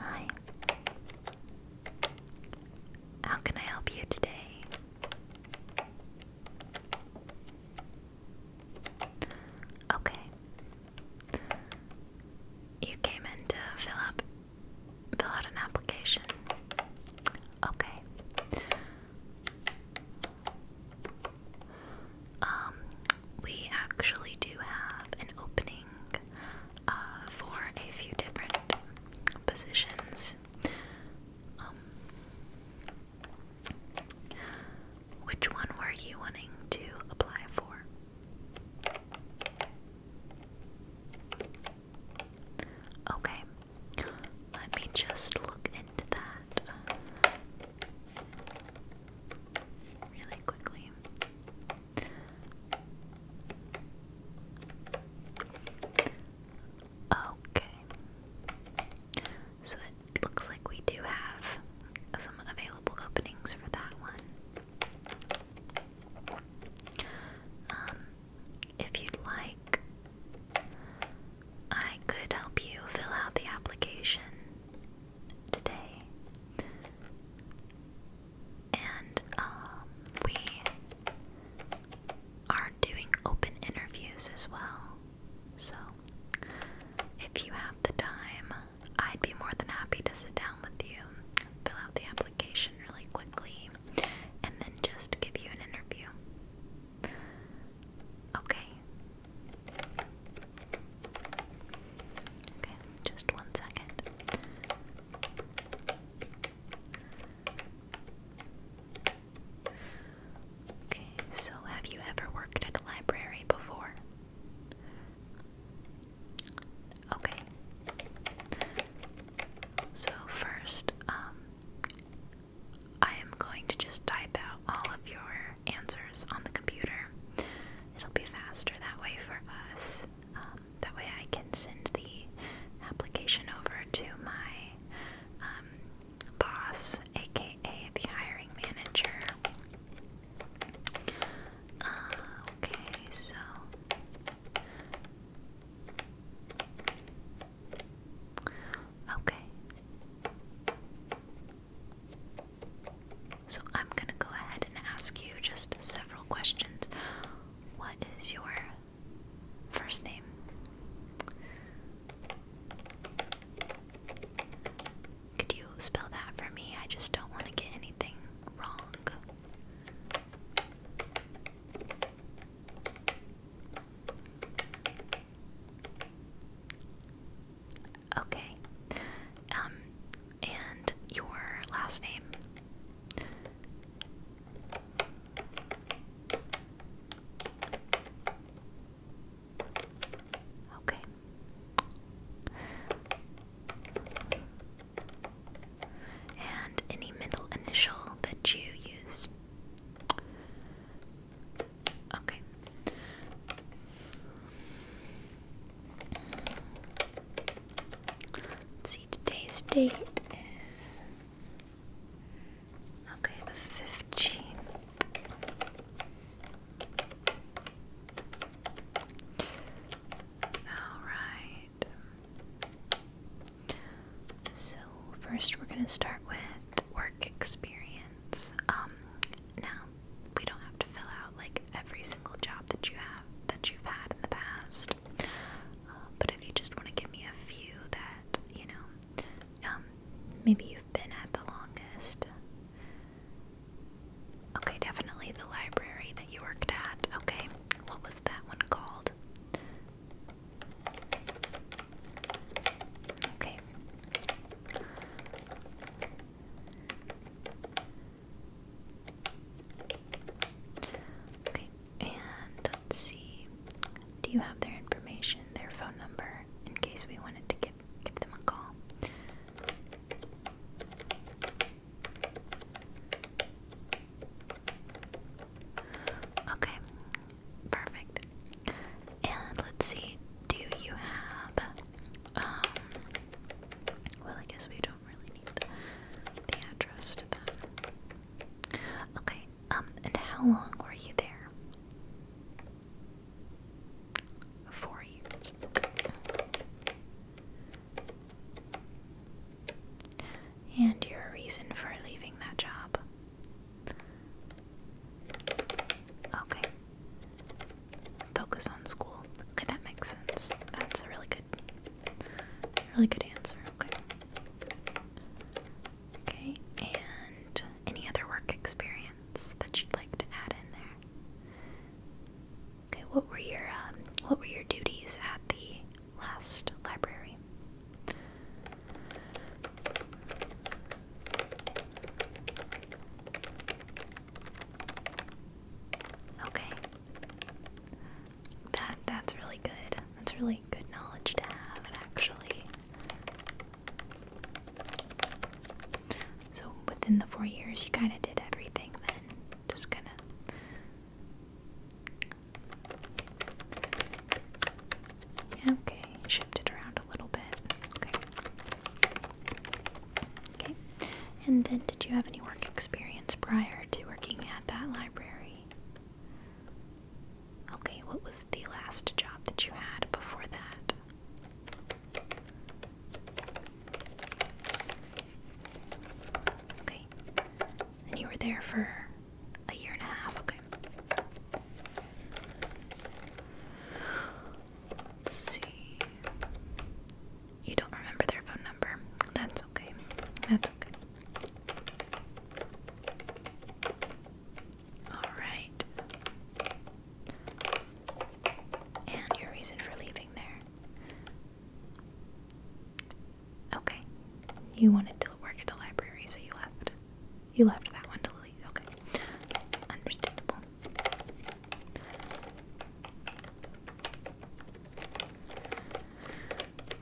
Hi. How can I help you today? Okay. You came in to fill up fill out an application. Okay. Um, we actually do have an opening uh, for a few different positions, um, which one were you wanting to apply for? Okay, let me just look into that really quickly. Okay. So it looks like we do have some available openings for that one. Um, if you'd like, I could help you fill out the application today. And um, we are doing open interviews as well. So if you have the time, I'd be more than happy to sit down with you, fill out the application really quickly, and then just give you an interview. Okay, Okay, just one second. Okay, so have you ever worked at a library before? Okay. So, first, um, I am going to just type out all of your answers on the computer. It'll be faster that way for us. Um, that way, I can send the application over to my um, boss, aka the hiring manager. Uh, okay, so. Okay. So I'm gonna go ahead and ask you just several questions. What is your first name? Could you spell that for me? I just don't want to get anything wrong. Okay. Um, and your last name. Okay. And any middle initial that you use. Okay let see, today's date is okay, the fifteenth. All right. So first, we're gonna start with work experience. Um, now, we don't have to fill out like every single job that you have that you've had in the past. Uh, but if you just want to give me a few that, you know, um, maybe you've been at the longest. Okay, definitely the library that you worked at. Okay, what was that one called? Okay. Okay, and let's see. Do you have their information, their phone number, in case we wanted to give give them a call? Okay, perfect. And let's see. Do you have um well, I guess we don't really need the, address Okay, um, and how long were you there? Four years. And your reason for leaving that job? Okay focus on school. Okay, that makes sense. That's a really good, really good answer. Okay. Okay, and any other work experience that you'd like to add in there? Okay, what were your um, what were your duties at the last library? Okay. That that's really good. That's really good knowledge to have actually. So within the four years you kinda did everything then. Just kinda Okay, shift it around a little bit. Okay. Okay. And then did you have any work experience prior to working at that library? Okay, what was the last job that you had before that? Okay. And you were there for a year and a half, okay. Let's see. You don't remember their phone number. That's okay. That's okay. Alright. And your reason for leaving there. Okay. You wanted to work at the library, so you left. You left that one to leave. Okay. Understandable.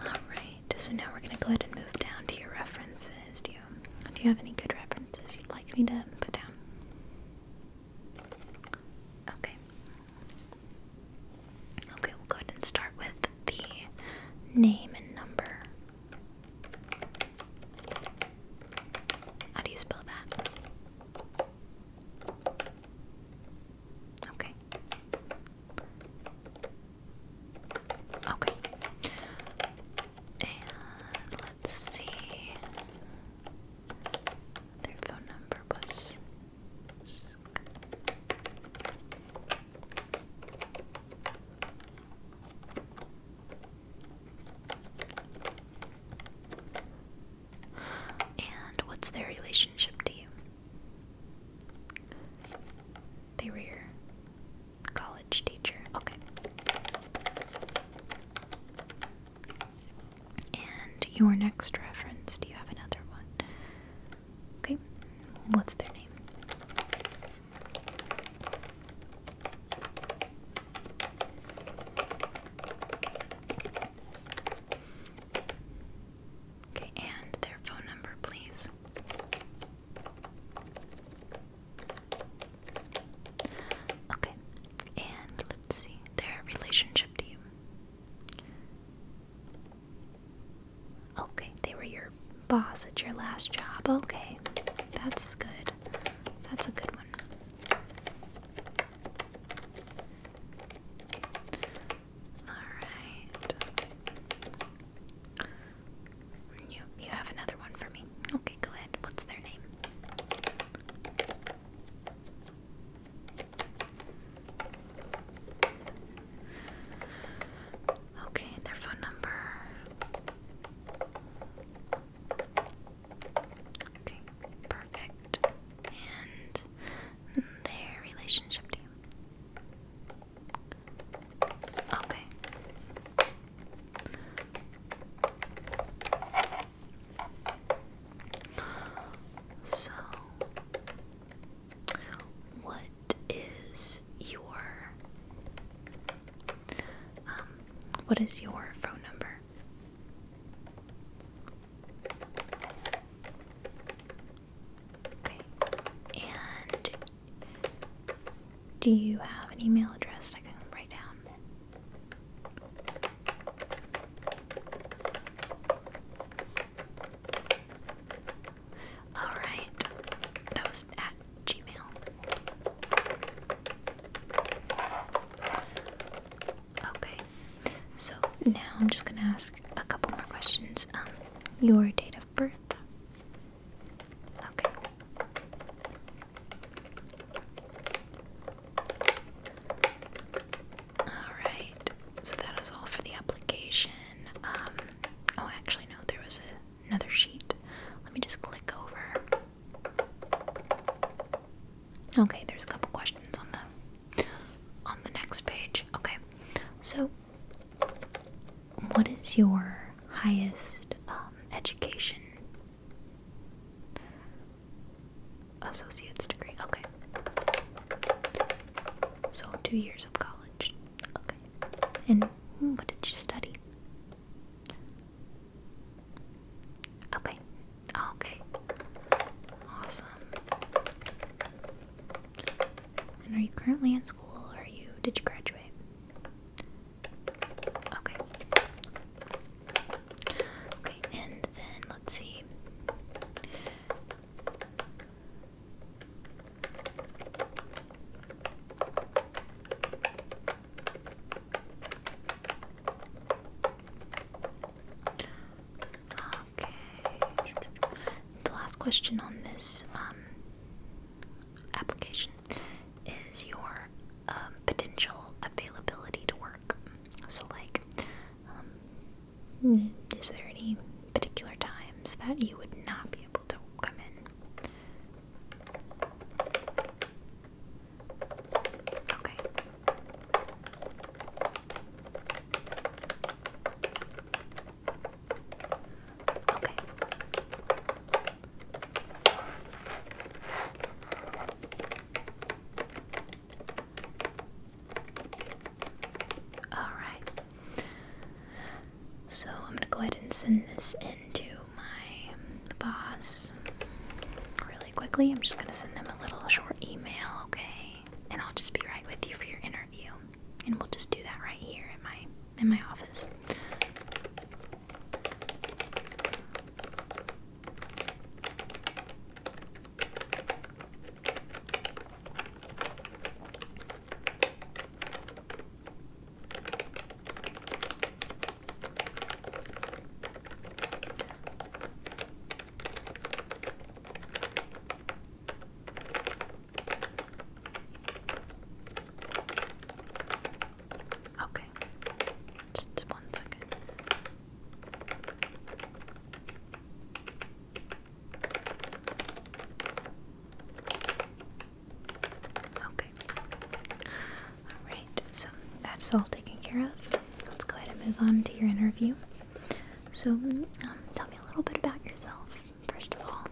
Alright, so now we're gonna go ahead and move down to your references. Do you do you have any good references you'd like me to put down? Okay. Okay, we'll go ahead and start with the name and number. How do you spell that? Okay. Okay. let's see. Their phone number was. And what's their relationship to you? They were your college teacher. Okay. And your next reference, do you have another one? Okay. What's their name? Okay, and their phone number, please. Okay, and let's see their relationship to you. Okay, they were your boss at your last job. Okay, that's good. That's a good one. Alright. You you have another one for me. Okay, go ahead. What's their name? Okay, their phone number. Okay, perfect. And their relationship Okay. So, what is your um what is your phone number? And do you have an email address I can write down? All right. That was at Gmail. Okay. So now I'm just gonna ask a couple more questions. Um, your date of birth. Okay. Alright. So that is all for the application. Um oh actually no, there was a, another sheet. Let me just click over. Okay, there's a couple questions on the on the next page. Okay. So what is your highest um, education? Associate's degree. Okay. So 2 years of college. Okay. And what did you study? Okay. Oh, okay. Awesome. And are you currently in school or are you did you graduate? Okay. Okay, and then let's see. Okay. The last question on this um, application is your um, potential availability to work. So, like, um, is there any particular times that you would not be able to come in? Okay. Okay. All right. So I'm going to go ahead and send this into my boss quickly. I'm just going to send them a little short email, okay? And I'll just be right with you for your interview. And we'll just do that right here in my in my office. Okay, just one second. Okay, all right so that's all taken care of. Let's go ahead and move on to your interview. So, um, tell me a little bit about yourself, first of all.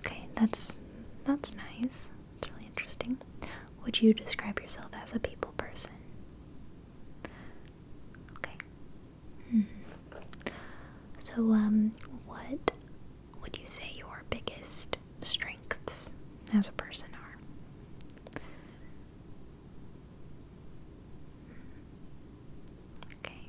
Okay, that's that's nice. It's really interesting. Would you describe yourself as a people person? Okay. Hmm. So, um, what would you say your biggest strengths as a person are? Okay.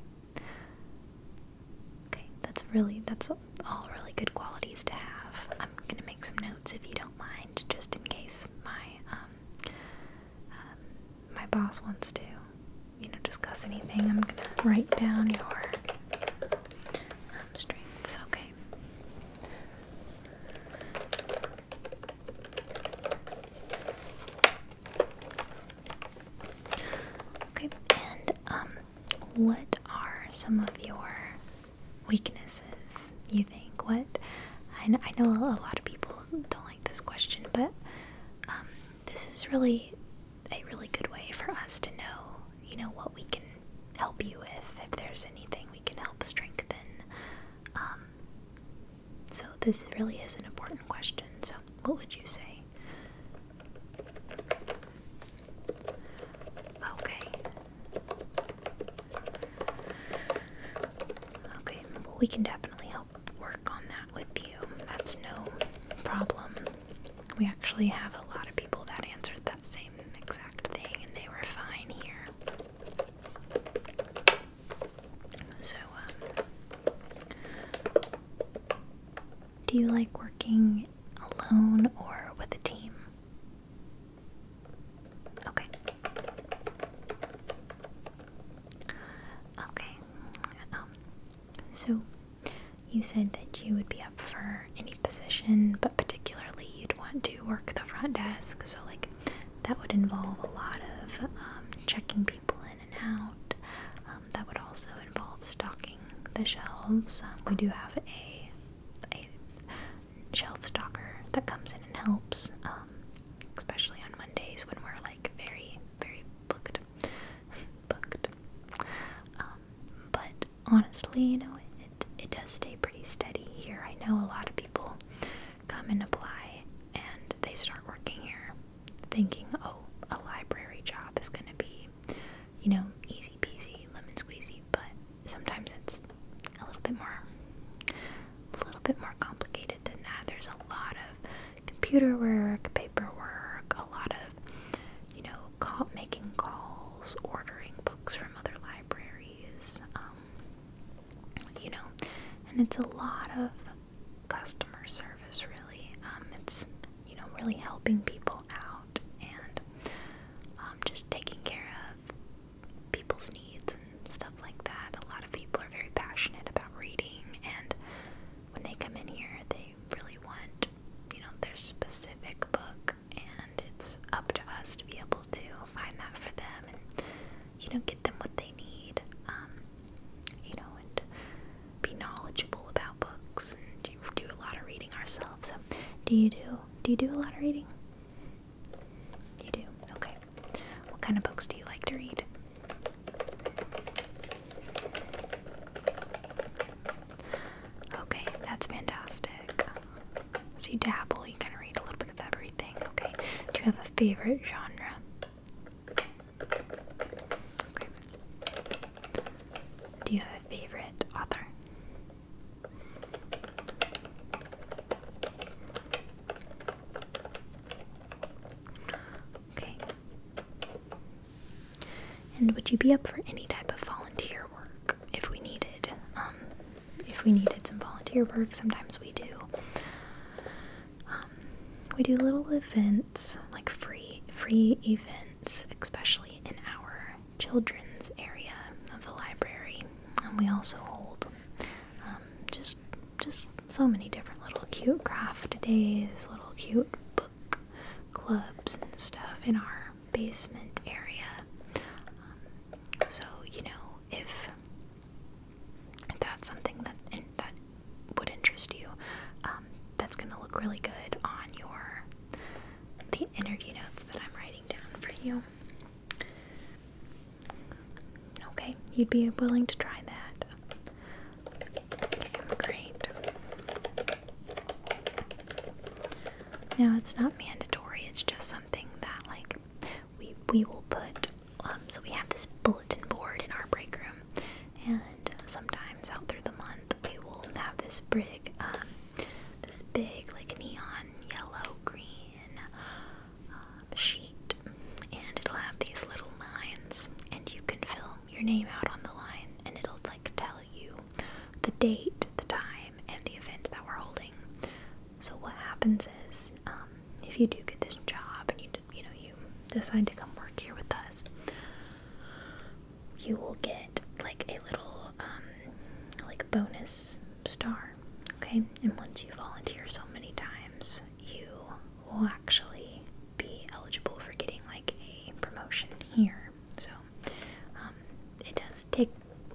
Okay, that's really that's all really good qualities to have. I'm gonna make some notes if you don't mind, just in case my um, um, my boss wants to, you know, discuss anything. I'm gonna write down your strengths. Okay. Okay, and um, what are some of your weaknesses? You think what? I know, I know a lot of people don't like this question, but um, this is really a really good way for us to know you know, what we can help you with, if there's anything we can help strengthen. Um, so, this really is an important question. So, what would you say? Okay. Okay, well, we can definitely help work on that with you. That's no problem we actually have a lot of people that answered that same exact thing and they were fine here. So, um, do you like working alone or with a team? Okay. Okay. Um, so you said that you would be up for any position, but particularly you'd want to work the front desk. So, like, that would involve a lot of um, checking people in and out. Um, that would also involve stocking the shelves. Um, we do have a, a shelf stalker that comes in and helps, especially on Mondays when we're like very, very booked. booked. but honestly, you know, it, it does stay pretty steady here. I know a lot of people come and apply and they start working here thinking, oh, a library job is going to be, you know, easy peasy, lemon squeezy, but sometimes it's a little bit more a little bit more complicated than that. There's a lot of computer work, paperwork, a lot of you know, call, making calls, ordering books from other libraries, um, you know, and it's a lot of customer service, really. Um, it's, you know, really helping people out and um, just taking care of people's needs and stuff like that. A lot of people are very passionate about reading, and when they come in here, they really want, you know, their specific book and it's up to us to be able to find that for them and, you know, get them what they need, um, you know, and be knowledgeable about books and do, do a lot of reading ourselves. So, do you do, do you do a lot of reading? You do? Okay. What kind of books do you like to read? Okay, that's fantastic. So you dabble, you can read a little bit of everything. Okay, do you have a favorite genre? Okay. Do you have a favorite author? Okay. And would you be up for any type of volunteer work if we needed? Um, if we needed some volunteer work, sometimes we do. Um, we do little events, like free free events, especially in our children's area of the library. And we also hold um, just just so many different little cute craft days, little cute clubs and stuff in our basement area. Um, so you know if that's something that that would interest you, um, that's gonna look really good on your the interview notes that I'm writing down for you. Okay, you'd be willing to try that. Okay, great. No, it's not mandatory, it's just something that like we we will put um, so we have this bulletin board in our break room and sometimes out through the month we will have this big um, this big like neon yellow green um, sheet and it'll have these little lines and you can fill your name out on the line and it'll tell you the date, the time, and the event that we're holding. So what happens is, um, if you do get this job and you you know you decide to come work here with us, you will get like a little um, like bonus star. Okay, and once you volunteer so many times, you will actually be eligible for getting like a promotion here. So um, it does take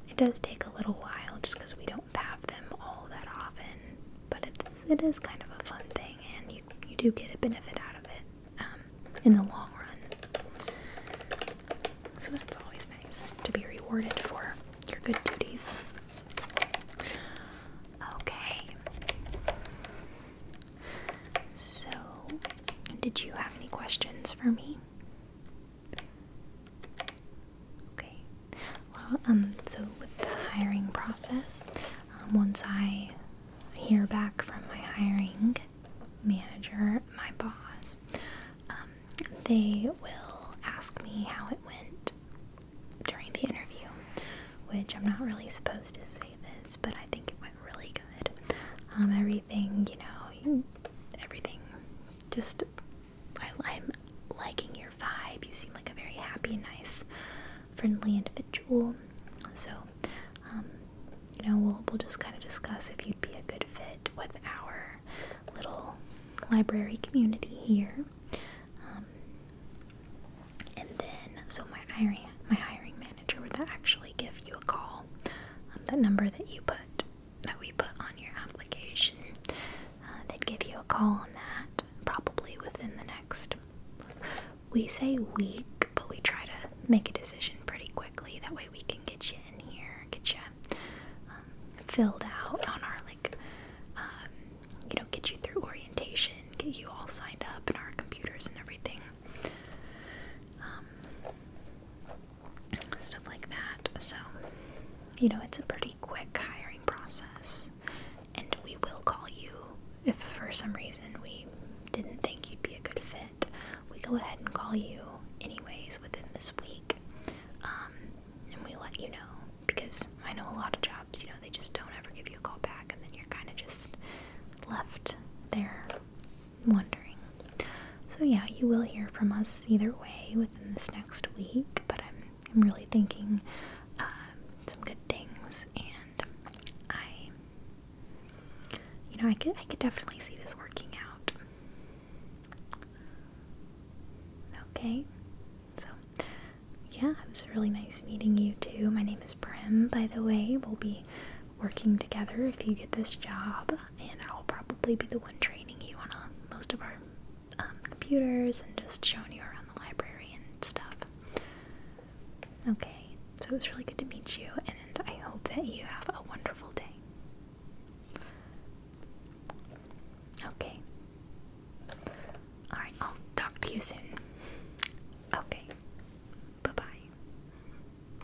it does take a little while just because we don't have them all that often. But it is, it is kind of a fun thing, and you you do get a benefit out of it um, in the long run. So that's always nice to be rewarded for your good duties. Okay. So, did you have any questions for me? Okay. Well, um, so with the hiring process, um, once I hear back from my hiring manager, my boss, um, they will ask me how it went during the interview, which I'm not really supposed to say this, but I think it went really good. Um, everything, you know, everything. Just, I, am liking your vibe. You seem like a very happy, nice, friendly individual. So, um, you know, we'll we'll just kind of discuss if you'd be a good fit with our little library community here. Um, and then, so my hiring my hiring manager would actually give you a call. Um, that number that you put, that we put on your application, uh, they'd give you a call on that probably within the next. We say week, but we try to make a decision pretty quickly. That way we can get you in here, get you um, filled out on our like, um, you know, get you through orientation, get you all signed up in our computers and everything. Um, stuff like that. So, you know, it's a pretty quick hiring process. And we will call you if for some reason we didn't think you'd be a good fit. We go ahead and call you anyways within this week. Um, and we let you know because I know a lot of jobs, you know, they just don't ever give you a call back and then you're kind of just left there wondering. So yeah, you will hear from us either way within this next week, but I'm I'm really thinking um, some good things, and I, you know, I could I could definitely see this working out. Okay, so yeah, it was really nice meeting you too. My name is Prim, by the way. We'll be working together if you get this job, and I'll probably be the one training you on uh, most of our um, computers and just showing you around the library and stuff. Okay, so it was really good to meet you, and I hope that you have a wonderful day. Okay. Alright, I'll talk to you soon. Okay. Bye bye.